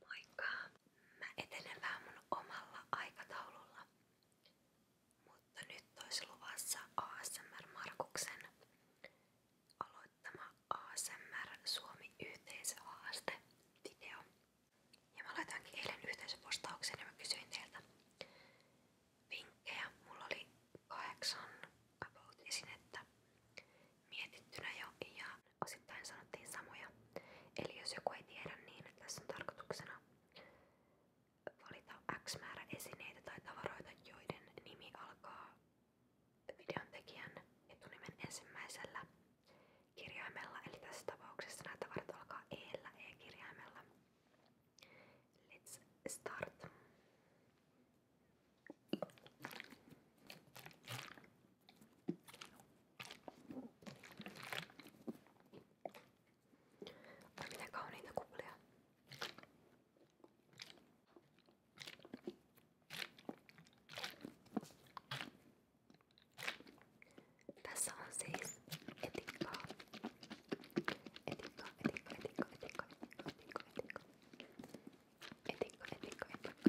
Moikka! Mä etenen vähän mun omalla aikataululla. Mutta nyt olisi luvassa ASMR Markuksen aloittama ASMR Suomi yhteisöhaaste video. Ja mä laitoinkin eilen yhteisöpostauksen ja mä kysyin teiltä vinkkejä. Mulla oli kahdeksan about esinettä mietittynä jo ja osittain sanottiin samoja. Eli jos joku ei tiedä, niin tässä on tarkoituksena valita X määrä esineitä tai tavaroita, joiden nimi alkaa videon tekijän etunimen ensimmäisellä kirjaimella, eli tässä tapauksessa nämä tavarat alkaa E-llä E-kirjaimella. Let's start. Ai mitä kauniita kuplia. Tässä on siis etikkaa. Etikka, etikka, etikka, etikka, etikka, etikka, etikka, etikka, etikka, etikka.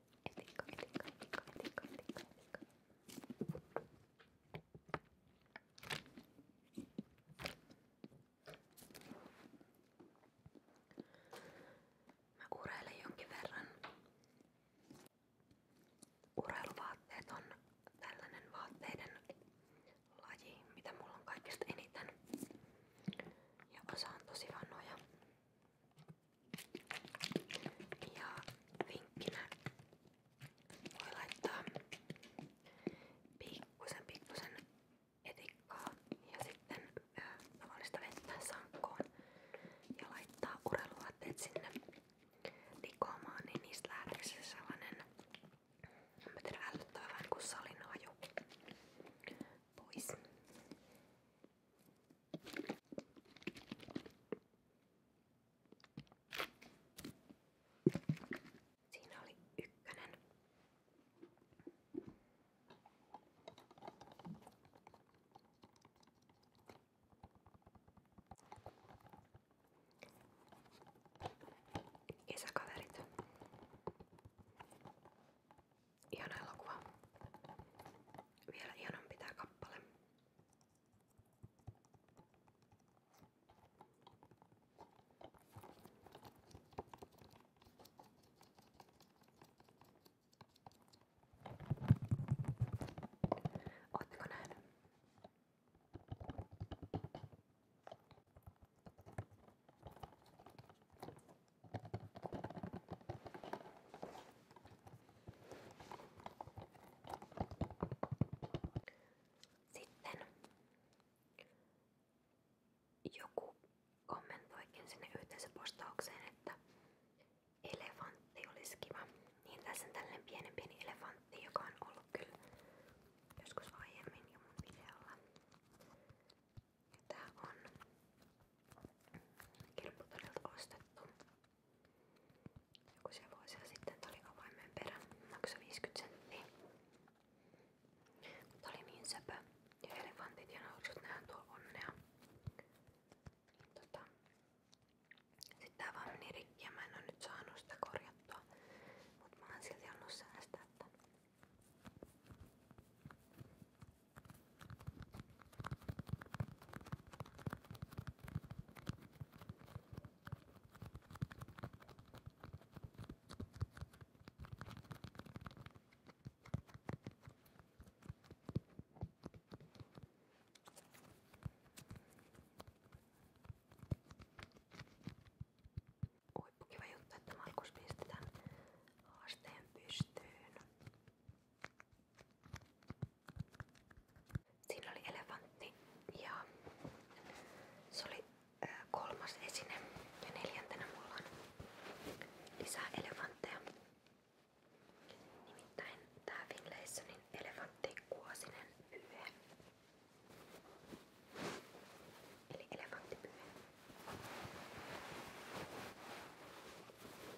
Etico, etico, etico, etico, etico, etico. Mä ureilen jonkin verran. Urheiluvaatteet on tällainen vaatteiden laji, mitä mulla on kaikista eniten. Ja osa on tosi vanhoja. Ja vinkkinä voi laittaa pikkusen pikkusen etikkaa ja sitten ö, tavallista vettä sankkoon ja laittaa urheiluvaatteet sinne likoamaan, niin niistä lähtee se sellainen en tiedä, älyttävä vähän kuin salin haju pois. Siinä oli ykkönen. Kesäkaverit. Ihana elokuva. Vielä ihanan pitää kappale. Ootteko nähnyt? Sitten joku kommentoikin sinne yhteisöpostaukseen, että elefantti olisi kiva. Niin tässä on tällainen pienen pieni elefantti, joka on ollut kyllä joskus aiemmin jo mun videolla. Ja tää on kirpputorilta ostettu. Joku se vuosia sitten tuli avaimen perä, maksoi 50 senttiä. Mutta oli niin söpö ja elefantit ja norsut, nehän tuo onnea. Niin tota, sitten tää vaan meni rikki ja mä en oo nyt saanut sitä korjattua. Mut mä oon silti annut säästää tän. Huippukiva juttu, että Markus pisti tämän haasteen pystyyn. Siinä oli elefantti ja se oli kolmas esine ja neljäntenä mulla on lisää elefantteja. Nimittäin tää Finlaysonin elefantti kuosinen pyyhe. Eli elefanttipyyhe.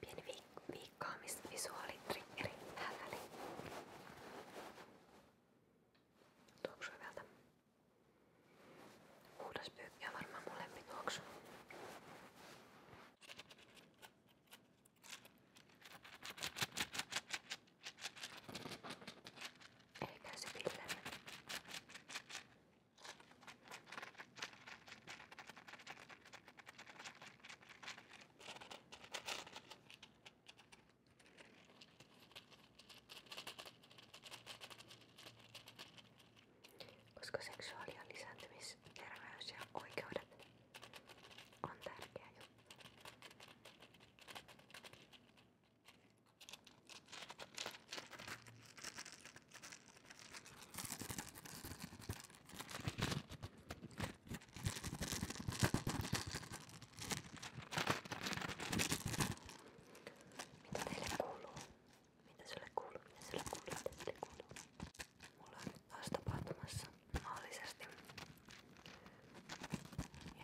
Pieni viik- viikkaamisvisuaalitrikkeri täällä, eli tuoksuu hyvältä. Huudaspyykki on varmaan mun lempituoksu. Eikä se pillellä koska seksuaali- ja lisääntymisterveys ja oikeudet on tärkeä juttu. Mitä teille kuuluu? Mitä sulle kuuluu? Mitä sulle kuuluu? Mitä sulle kuuluu? Mulla on nyt taas tapahtumassa maallisesti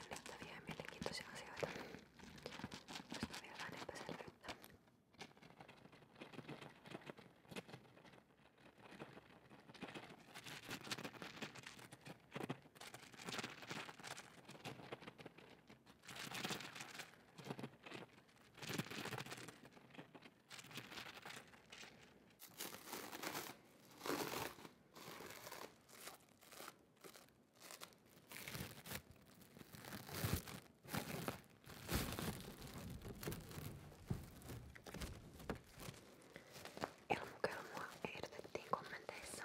jännittäviä ja mielenkiintoisia asioita, joista on vielä vähän epäselvyyttä. Elmukelmua ehdotettiin kommenteissa.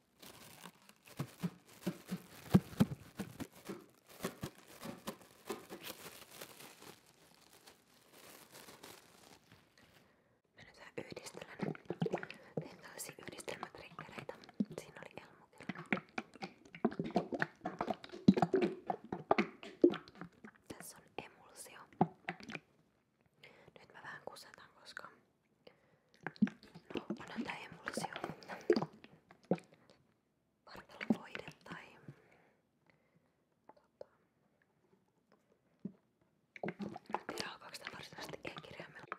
Mä nyt vähän yhdistelen. Tein tällaisia yhdistelmätrikkereitä. Siinä oli elmukilla. Tässä on emulsio. Nyt mä vähän kusetan, koska No, anna tää emulsio. Vartalovoide tai... Tota, tiedä onko sitä varsinaisesti e-kirjaimella.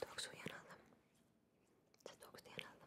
Tuoksuu hienolta. Sä tuoksut hienolta.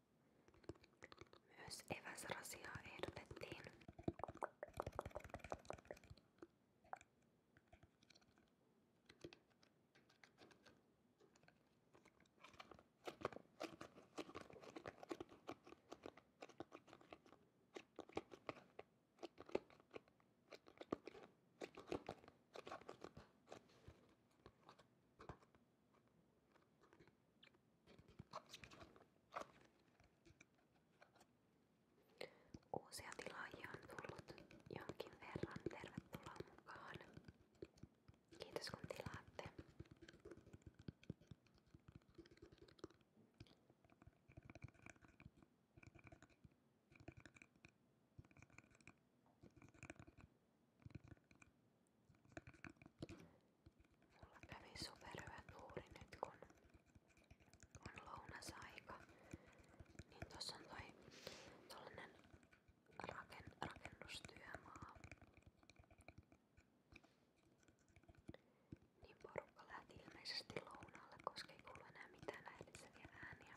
Myös eväsrasiaa ehdotettiin. Uusia tilaajia on tullut jonkin verran. Tervetuloa mukaan. Kiitos kun tilaatte. Mulla kävi superhyvä tuuri nyt kun on lounasaika. Niin tossa on toi tollanen raken, rakennustyömaa. Niin porukka lähti ilmeisesti lounaalle, koska ei kuulu enää mitään häiritseviä ääniä.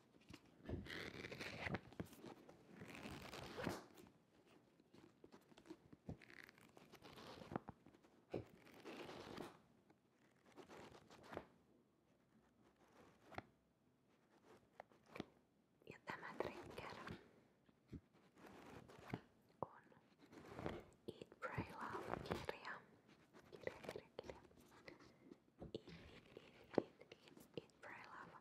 Ja tämä trigger on Eat, Pray, Love kirja. Kirja, kirja, Eat, eat, eat, eat, eat, eat, pray, love.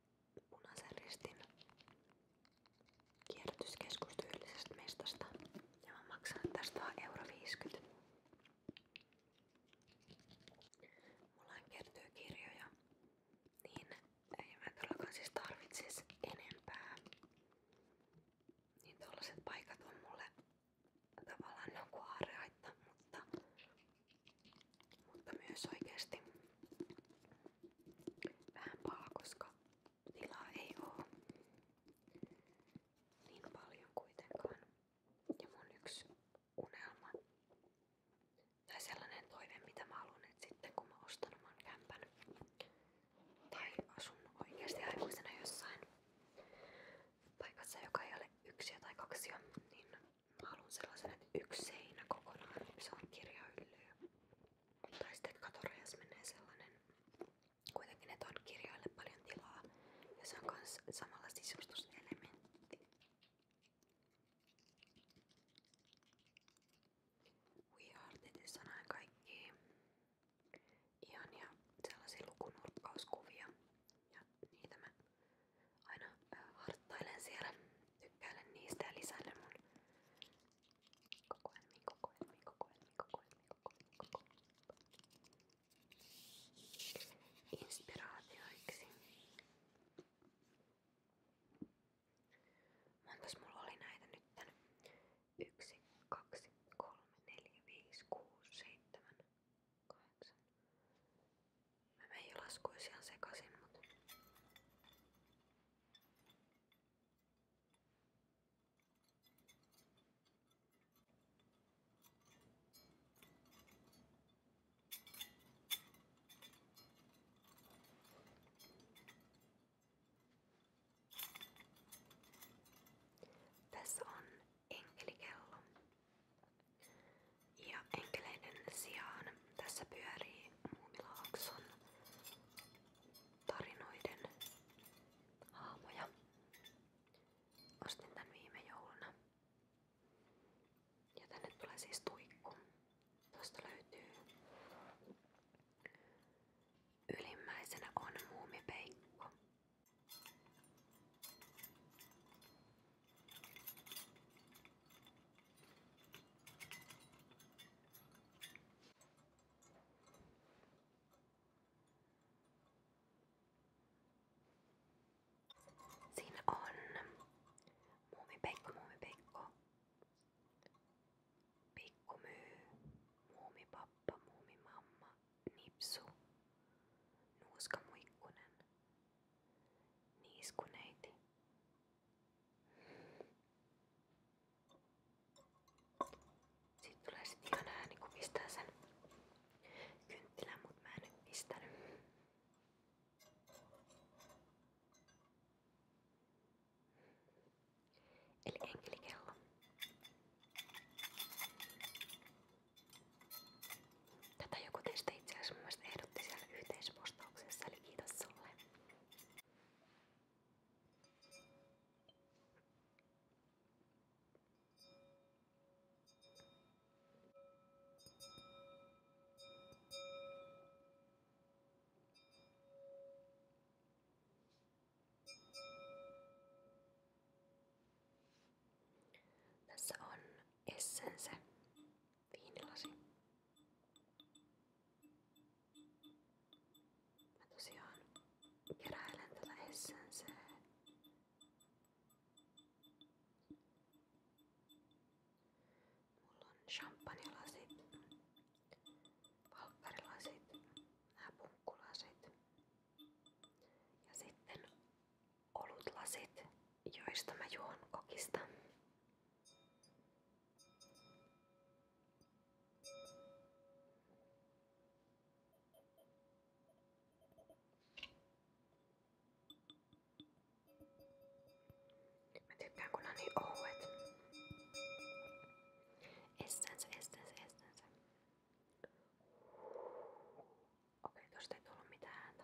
Punaisen ristin kierrätyskeskus tyylisestä Ja mä maksan tästä vaan euro 50. Mulla kertyy niin ei mä todellakaan siis enempää. Niin tollaset paikat on mulle tavallaan ne niinku on mutta, mutta myös oikeesti vähän paha, koska tilaa ei oo niin paljon kuitenkaan. Ja mun yksi unelma tai sellainen toive, mitä mä haluan, että sitten kun mä ostan oman kämpän tai asun oikeasti aikuisena jossain paikassa, joka ei ole yksi tai kaksi, niin mä haluan sellaisen, että yksi seinä kokonaan, se on kirjahyllyä. Tai sitten katorajas menee sellainen, kuitenkin ne on kirjaille paljon tilaa ja se on myös samalla sisustuselementti. We Artitissa näin kaikki ihania sellaisia lukunurkkauskuvia ja niitä mä aina äh, harttailen siellä, tykkäilen niistä ja lisäilen mun kokoelmiin, kokoelmiin, kokoelmiin, kokoelmiin, kokoelmiin, kokoelmiin. Inspiraatioiksi. Montas mulla oli näitä nytten? 1, 2, 3, 4, 5, 6, 7, 8. Mä menin jo laskuisiaan sekasin, mutta tässä on enkelikello. Ja enkeleiden sijaan tässä pyörii muumilaakson tarinoiden haamoja. Ostin tän viime jouluna. Ja tänne tulee siis tuikku. Tuosta löytyy ylimmäisenä on muumipeikko. Siinä on Muumi Pekko, Muumi Pekko, Pikku Myy, Muumi Pappa, Muumi Mamma, Nipsu, Nuuska Muikkunen, Niiskuneiti, siitä tulee sit ihan ääni kun pistää sen kynttilän, mut mä en nyt pistänyt. Eli enkelikello. Tätä joku teistä itse asiassa mun mielestä ehdotti siellä yhteispostauksessa, eli kiitos sulle. Tässä on Essense viinilasi. Mä tosiaan keräilen tällä Essence Mulla on champagnelasit, palkkarilasit, nämä punkkulasit ja sitten olutlasit, joista mä juon kokista. Mä tykkään kun on niin ouet. Estänsä, estänsä, estänsä. Okei, tosta ei tullut mitään ääntä.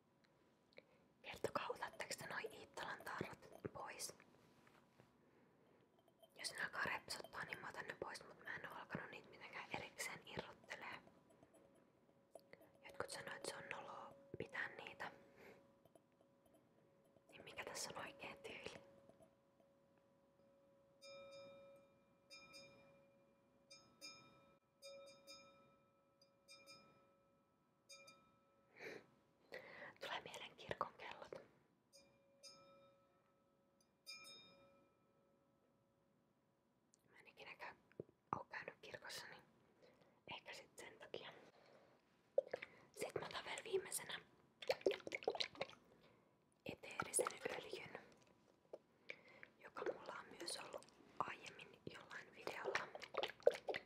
Kertokaa, otatteko te noin Iittalan tarrat pois? Jos ne alkaa repsottaa, niin mä otan ne pois, mutta mä en oo alkanut niitä mitenkään erikseen irrottelee. Jotkut sanoo, että se on noloa pitää niitä. Niin mikä tässä on oikea tyyli? Tulee mielen kirkon kellot. Mä en ikinä käy, oo käynyt kirkossa, niin ehkä sit sen takia. Sitten mä otan vielä viimeisenä eteerisen öljyn joka mulla on myös ollut aiemmin jollain videolla mukana.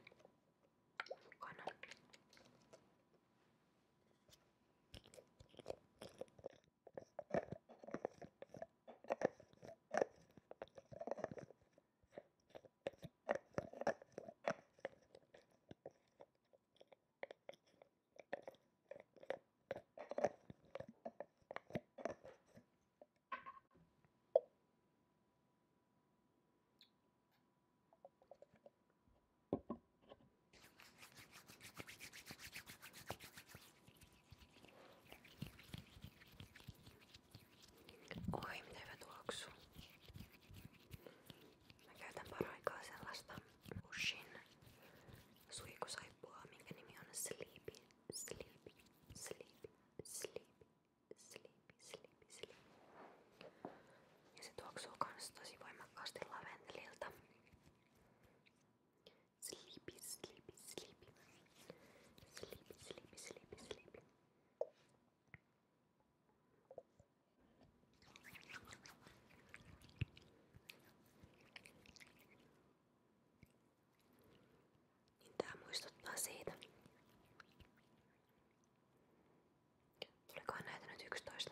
Oi, miten hyvä tuoksu. Mä käytän paraikaa sellaista Bushin suihkusaippua, minkä nimi on Sleepy, Sleepy, Sleepy. sleepy, sleepy, sleepy, sleepy. Ja se tuoksuu kans tosi voimakkaasti laventelilta. Sleepy, sleepy, sleepy. Sleepy, sleepy, sleepy, sleepy. Niin tää muistuttaa siitä. Tulikohan näitä nyt 11?